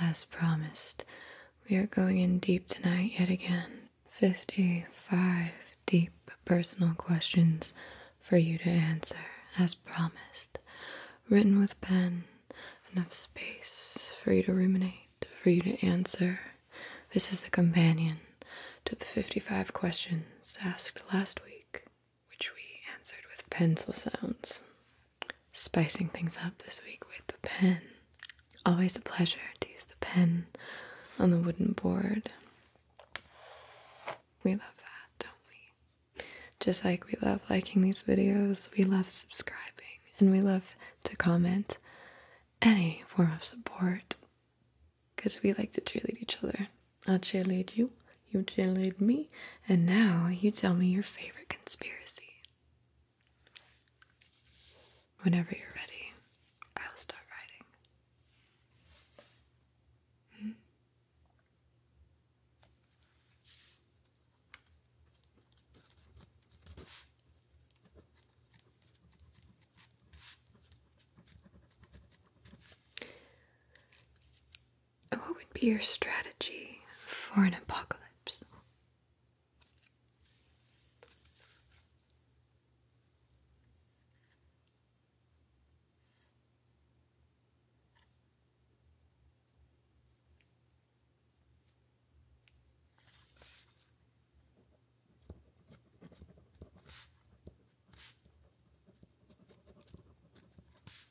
As promised, we are going in deep tonight yet again. 55 deep personal questions for you to answer, as promised. Written with pen, enough space for you to ruminate, for you to answer. This is the companion to the 55 questions asked last week, which we answered with pencil sounds spicing things up this week with the pen. Always a pleasure to use the pen on the wooden board. We love that, don't we? Just like we love liking these videos, we love subscribing and we love to comment any form of support because we like to cheerlead each other. I'll cheerlead you, you cheerlead me, and now you tell me your favorite conspiracy. Whenever you're ready, I'll start writing. What would be your strategy for an apocalypse?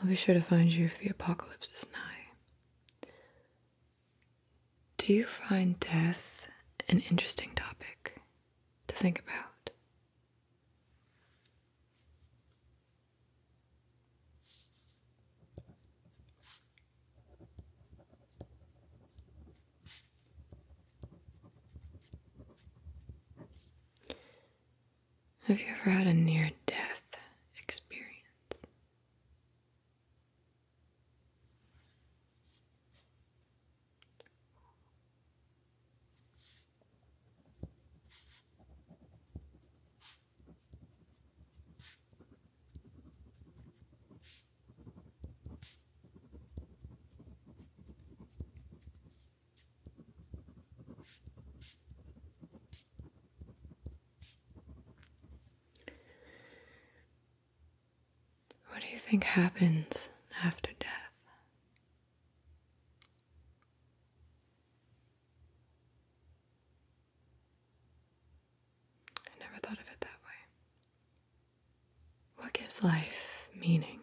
I'll be sure to find you if the apocalypse is nigh. Do you find death an interesting topic to think about? Have you ever had a near death experience? What do you think happens after death? I never thought of it that way. What gives life meaning?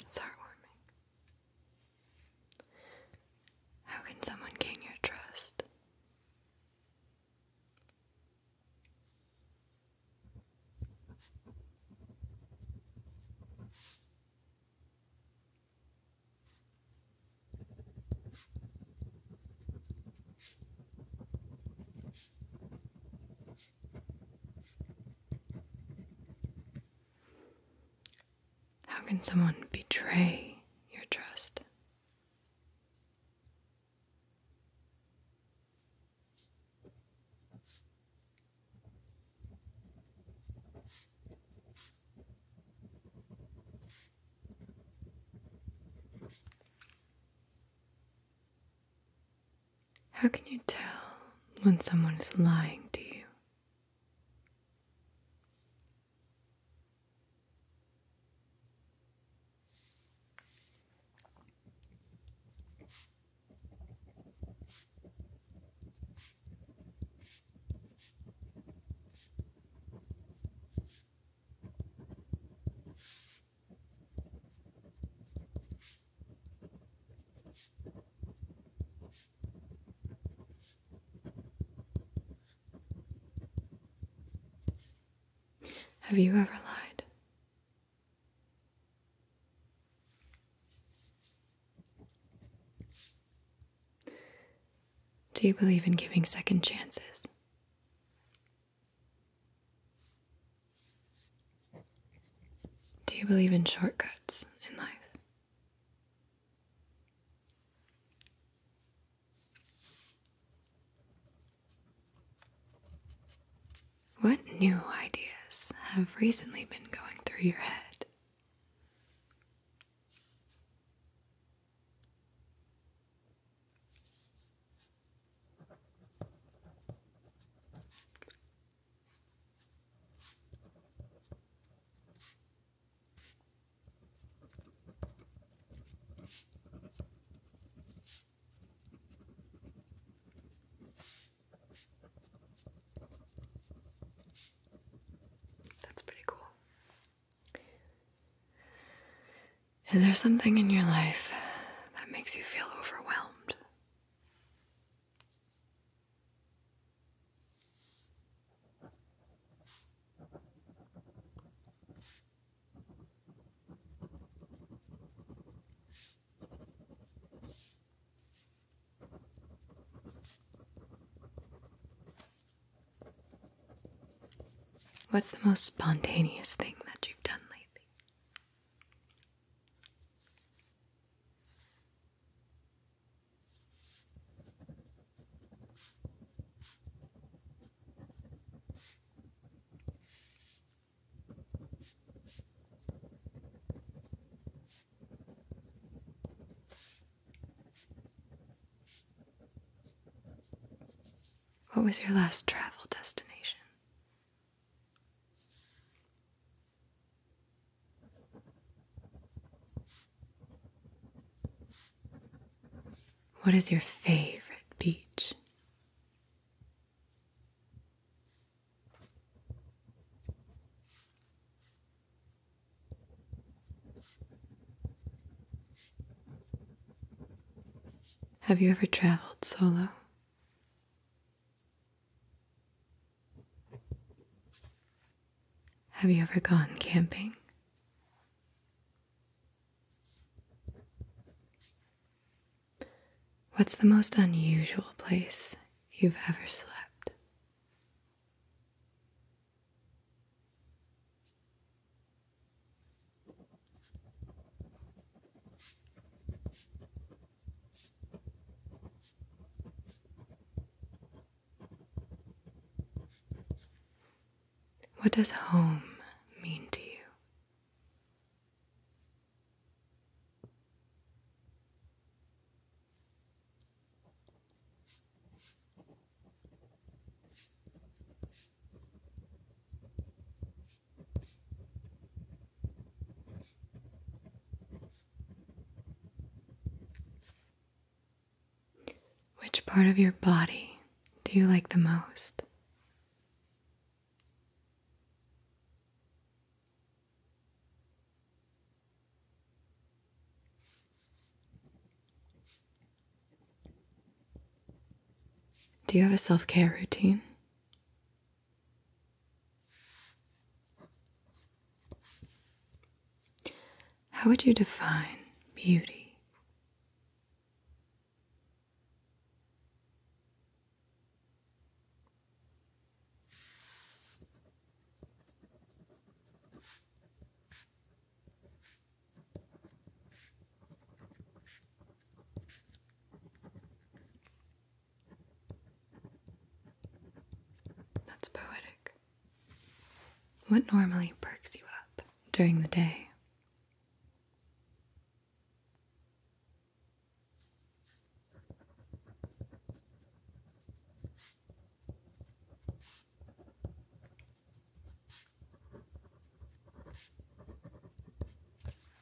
It's heartwarming. How can someone gain your trust? How can someone betray your trust? How can you tell when someone is lying to you? Have you ever lied? Do you believe in giving second chances? Do you believe in shortcuts in life? What new ideas have recently been going through your head? That's pretty cool. Is there something in your life that makes you feel overwhelmed? What's the most spontaneous thing that you've done lately? What was your last travel destination? What is your favorite beach? Have you ever traveled solo? Have you ever gone camping? What's the most unusual place you've ever slept? What does home mean to you? Which part of your body do you like the most? Do you have a self care routine? How would you define beauty? That's poetic. What normally perks you up during the day?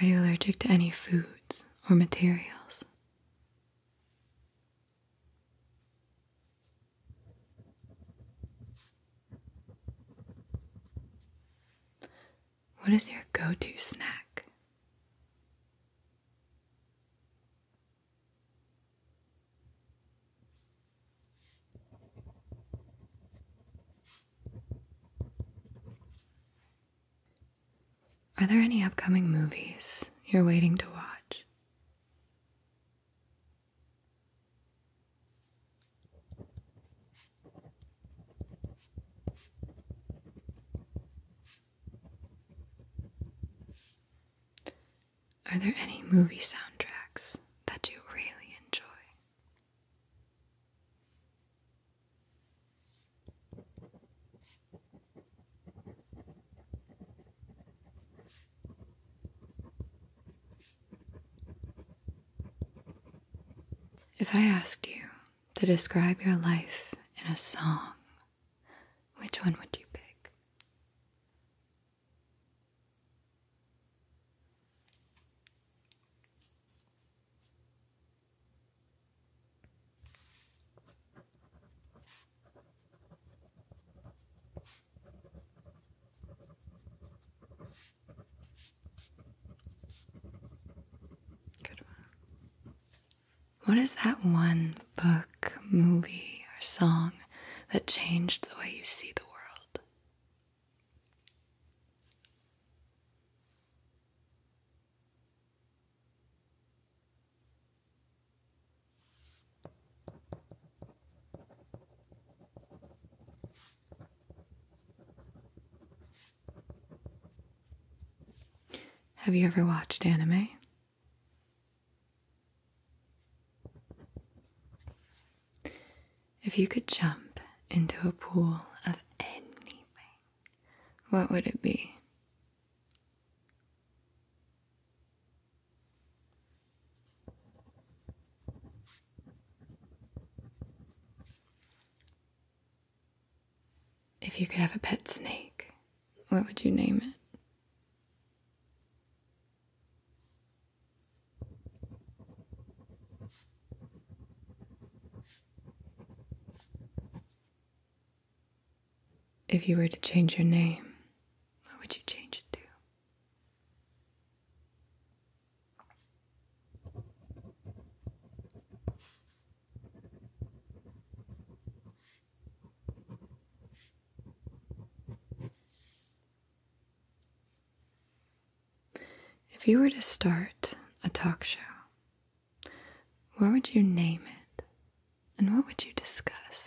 Are you allergic to any foods or materials? What is your go to snack? Are there any upcoming movies you're waiting to watch? Are there any movie soundtracks that you really enjoy? If I asked you to describe your life in a song, which one would you pick? What is that one book, movie, or song that changed the way you see the world? Have you ever watched anime? If you could jump into a pool of anything, what would it be? If you could have a pet snake, what would you name it? If you were to change your name, what would you change it to? If you were to start a talk show, what would you name it and what would you discuss?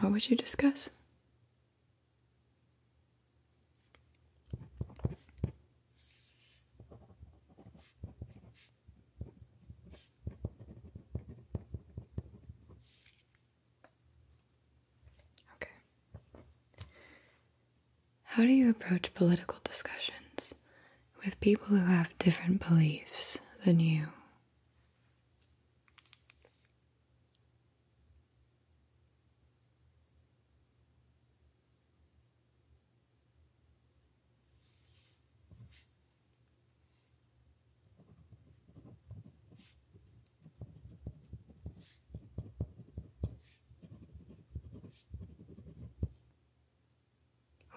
What would you discuss? Okay. How do you approach political discussions with people who have different beliefs than you?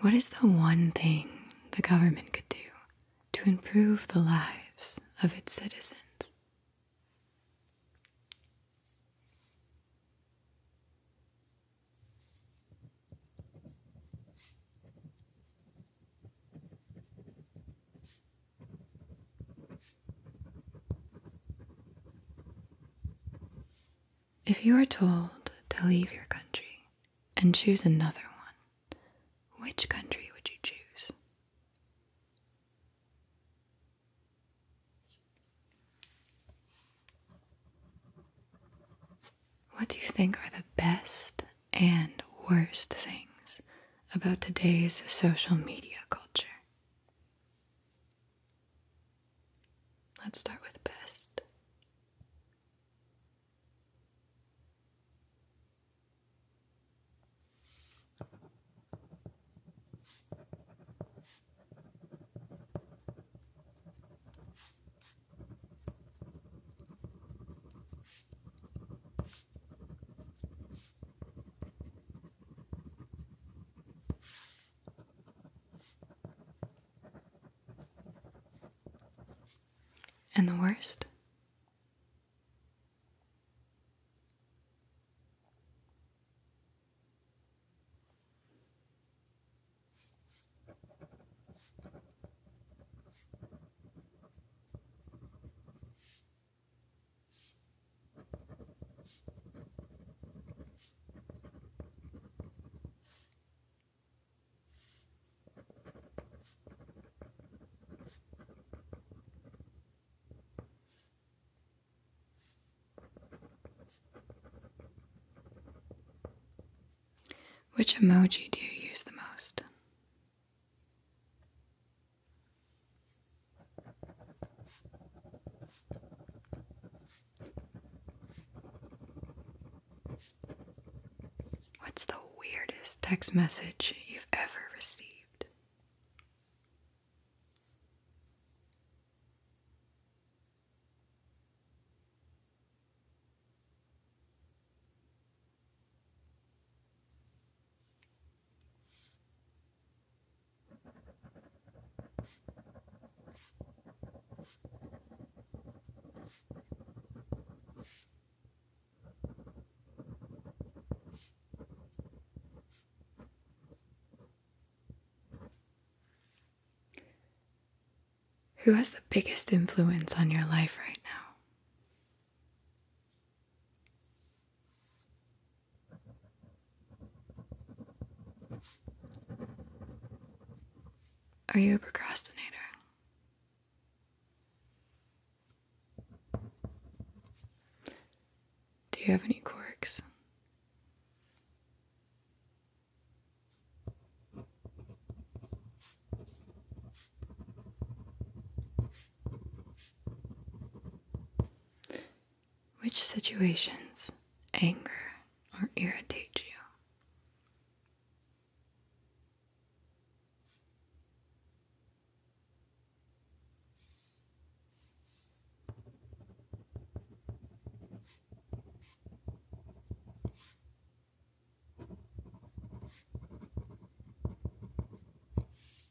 What is the one thing the government could do to improve the lives of its citizens? If you are told to leave your country and choose another one, which country would you choose? What do you think are the best and worst things about today's social media culture? Let's start with best. And the worst? Which emoji do you use the most? What's the weirdest text message you've ever received? Who has the biggest influence on your life right now? Are you a procrastinator? Do you have any quirks? Which situations anger or irritate you?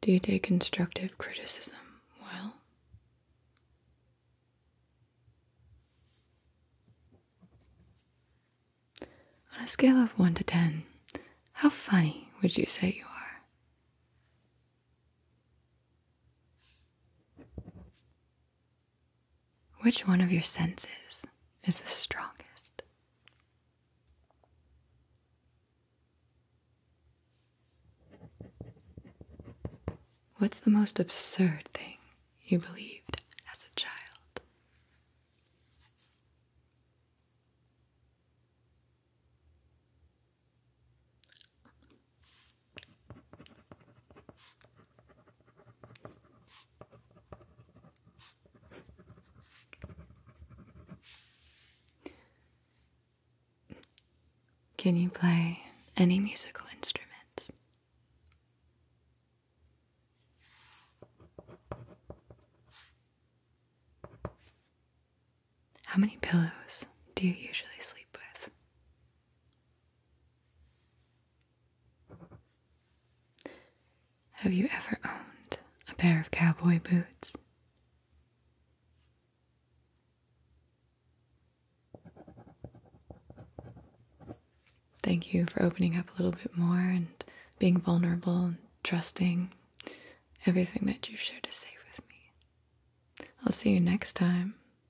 Do you take constructive criticism well? On a scale of 1 to 10, how funny would you say you are? Which one of your senses is the strongest? What's the most absurd thing you believed as a child? Can you play any musical instruments? How many pillows do you usually sleep with? Have you ever owned a pair of cowboy boots? Thank you for opening up a little bit more and being vulnerable and trusting. Everything that you've shared to say with me. I'll see you next time